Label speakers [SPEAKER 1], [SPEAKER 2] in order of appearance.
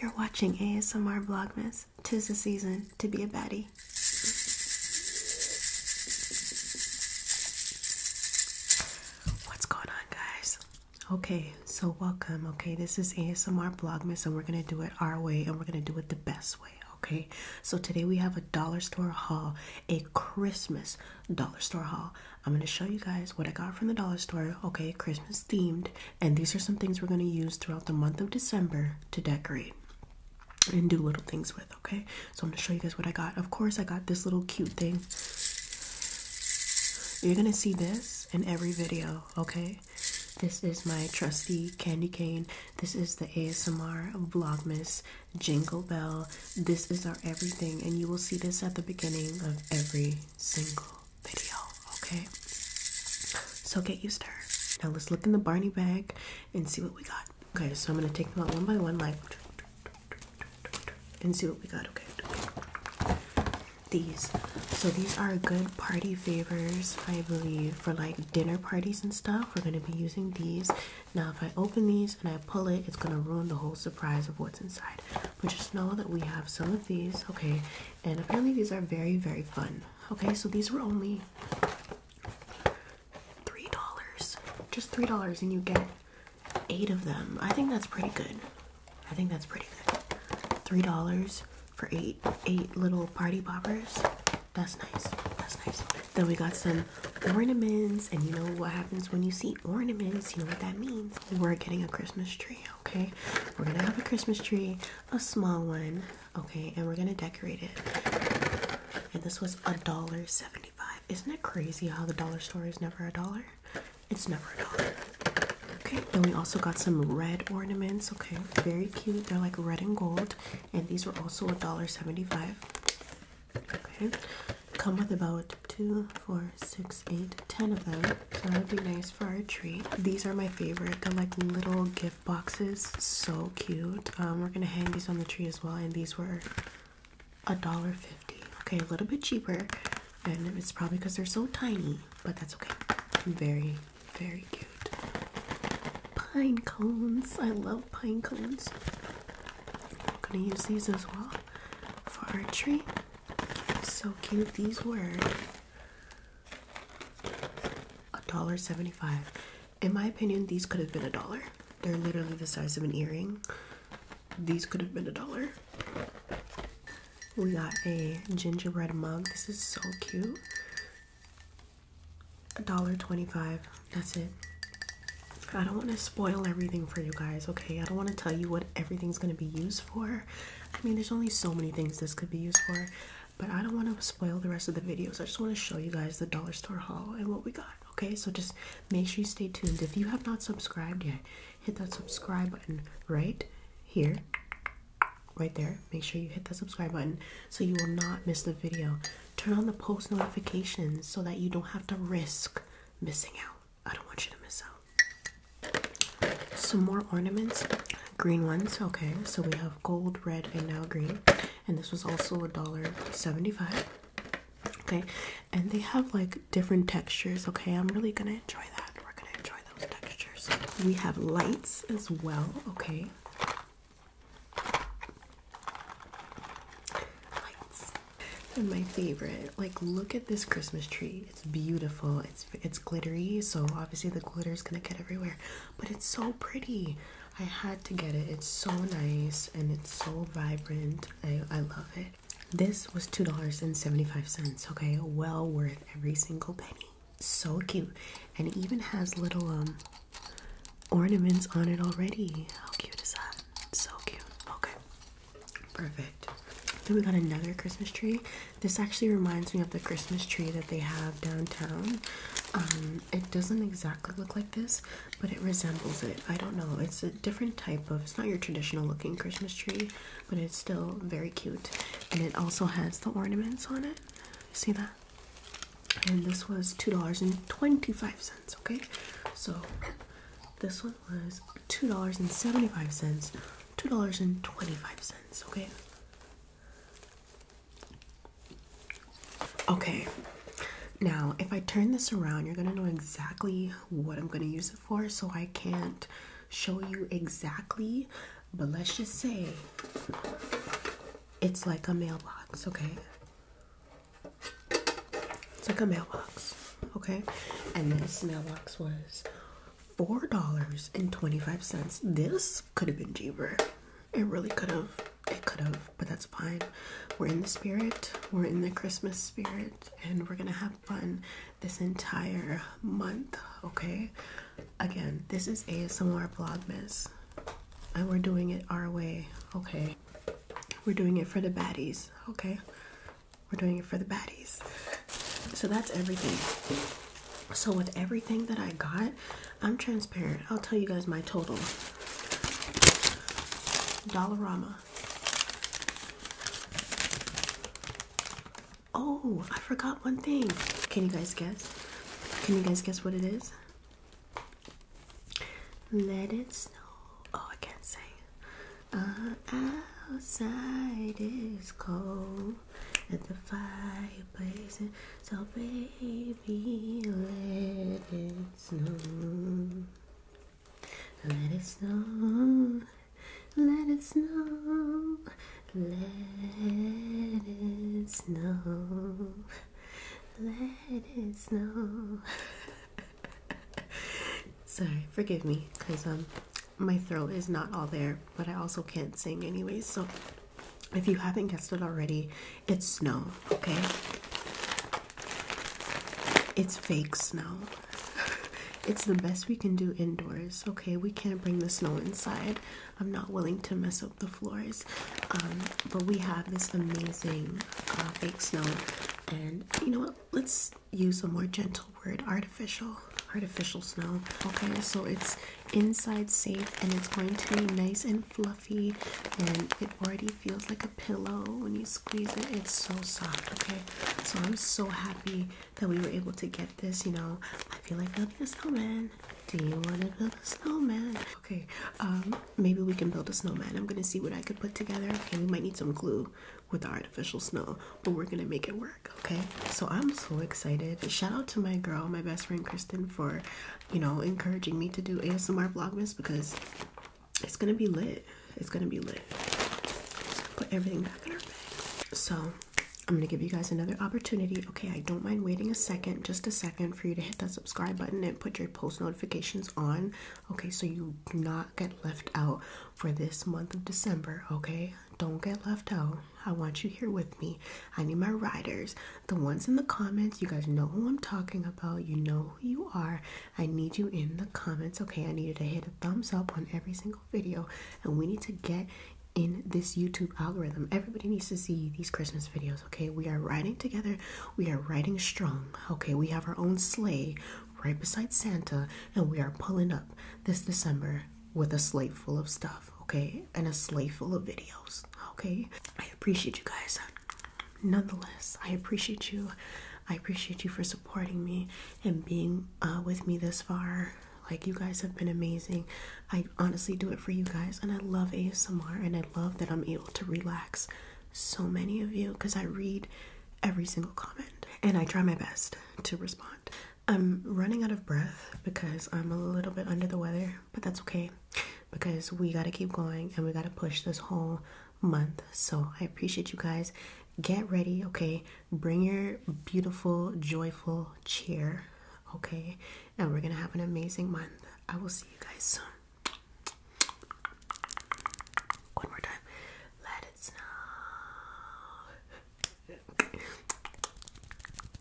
[SPEAKER 1] You're watching ASMR Vlogmas. Tis the season to be a baddie. What's going on, guys? Okay, so welcome. Okay, this is ASMR Blogmas, and we're gonna do it our way, and we're gonna do it the best way. Okay, so today we have a dollar store haul, a Christmas dollar store haul. I'm going to show you guys what I got from the dollar store, okay, Christmas themed, and these are some things we're going to use throughout the month of December to decorate and do little things with, okay? So I'm going to show you guys what I got. Of course, I got this little cute thing. You're going to see this in every video, okay? This is my trusty candy cane. This is the ASMR Vlogmas Jingle Bell this is our everything, and you will see this at the beginning of every single video, okay? So get used to it. Now let's look in the Barney bag and see what we got. Okay, so I'm gonna take them out one by one, like, and see what we got, okay? These. So these are good party favors, I believe, for like dinner parties and stuff. We're gonna be using these. Now, if I open these and I pull it, it's gonna ruin the whole surprise of what's inside. But just know that we have some of these, okay? And apparently, these are very, very fun. Okay, so these were only three dollars, just three dollars, and you get eight of them. I think that's pretty good. I think that's pretty good. Three dollars for eight, eight little party poppers. That's nice. That's nice. Then we got some ornaments, and you know what happens when you see ornaments, you know what that means. We're getting a Christmas tree, okay? We're gonna have a Christmas tree, a small one, okay, and we're gonna decorate it. And this was a dollar seventy-five. Isn't it crazy how the dollar store is never a dollar? It's never a dollar. Okay, then we also got some red ornaments, okay, very cute. They're like red and gold, and these were also a dollar seventy-five come with about two, four, six, eight, ten of them. So that would be nice for our tree. These are my favorite. They're like little gift boxes. So cute. Um, we're gonna hang these on the tree as well. And these were a dollar fifty. Okay, a little bit cheaper. And it's probably because they're so tiny, but that's okay. Very, very cute. Pine cones. I love out pine cones. I'm gonna use these as well for archery. So cute these were. A dollar seventy-five. In my opinion, these could have been a dollar. They're literally the size of an earring. These could have been a dollar. We got a gingerbread mug. This is so cute. $1.25. That's it. I don't want to spoil everything for you guys, okay? I don't want to tell you what everything's going to be used for. I mean, there's only so many things this could be used for, but I don't want to spoil the rest of the videos. I just want to show you guys the dollar store haul and what we got, okay? So just make sure you stay tuned. If you have not subscribed yet, hit that subscribe button right here right there make sure you hit the subscribe button so you will not miss the video turn on the post notifications so that you don't have to risk missing out i don't want you to miss out some more ornaments green ones okay so we have gold red and now green and this was also a dollar 75 okay and they have like different textures okay i'm really gonna enjoy that we're gonna enjoy those textures we have lights as well okay Lights. And my favorite, like look at this Christmas tree. It's beautiful. It's it's glittery, so obviously the glitter is gonna get everywhere. But it's so pretty. I had to get it. It's so nice and it's so vibrant. I, I love it. This was $2.75, okay? Well worth every single penny so cute and it even has little um, ornaments on it already how cute is that so cute okay perfect then we got another christmas tree this actually reminds me of the christmas tree that they have downtown um, it doesn't exactly look like this but it resembles it i don't know it's a different type of it's not your traditional looking christmas tree but it's still very cute. And it also has the ornaments on it. See that? And this was $2.25, okay? So this one was $2.75, $2.25, okay? Okay, now if I turn this around, you're gonna know exactly what I'm gonna use so I can't show you exactly. But let's just say it's like a mailbox, okay? It's like a mailbox, okay? And this mailbox was $4.25. This could have been cheaper. It really could have. It could have, but that's fine. We're in the spirit, we're in the Christmas spirit, and we're gonna have fun this entire month, okay? Again, this is ASMR Vlogmas, and we're doing it our way, okay? We're doing it for the baddies, okay? We're doing it for the baddies. So that's everything. So with everything that I got, I'm transparent. I'll tell you guys my total. Dollarama. Oh, I forgot one thing. Can you guys guess? Can you guys guess what it is? Let it snow. Oh, I can't sing. Uh, outside it's cold and the fireplace, is so baby, let it snow. Let it snow, let it snow, let it snow, let it snow. Sorry, forgive me, because um, my throat is not all there, but I also can't sing anyway. So if you haven't guessed it already, it's snow, okay? It's fake snow. it's the best we can do indoors. Okay, we can't bring the snow inside. I'm not willing to mess up the floors. Um, but we have this amazing uh, fake snow. And you know what? Let's use a more gentle word artificial. Artificial snow. Okay, so it's inside safe and it's going to be nice and fluffy and it already feels like a pillow when you squeeze it it's so soft okay so i'm so happy that we were able to get this you know i feel like building a snowman do you want to build a snowman okay um maybe we can build a snowman i'm gonna see what i could put together okay we might need some glue with the artificial snow but we're gonna make it work okay so i'm so excited shout out to my girl my best friend kristen for you know encouraging me to do asmr vlogmas because it's gonna be lit. It's gonna be lit. Put everything back in our bag. So I'm gonna give you guys another opportunity. Okay, I don't mind waiting a second, just a second, for you to hit that subscribe button and put your post notifications on. Okay, so you do not get left out for this month of December. Okay, don't get left out. I want you here with me. I need my riders the ones in the comments. You guys know who I'm talking about. You know who you are. I need you in the comments. Okay, I need you to hit a thumbs up on every single video, and we need to get in this YouTube algorithm. Everybody needs to see these Christmas videos, okay? We are riding together. We are riding strong, okay? We have our own sleigh right beside Santa, and we are pulling up this December with a sleigh full of stuff, okay? And a sleigh full of videos, okay? I appreciate you guys. Nonetheless, I appreciate you. I appreciate you for supporting me and being uh, with me this far. Like, you guys have been amazing. I honestly do it for you guys, and I love ASMR, and I love that I'm able to relax so many of you because I read every single comment and I try my best to respond. I'm running out of breath because I'm a little bit under the weather, but that's okay because we got to keep going and we got to push this whole month. So I appreciate you guys. Get ready, okay? Bring your beautiful, joyful cheer, okay? And we're going to have an amazing month. I will see you guys soon. One more time. Let it snow.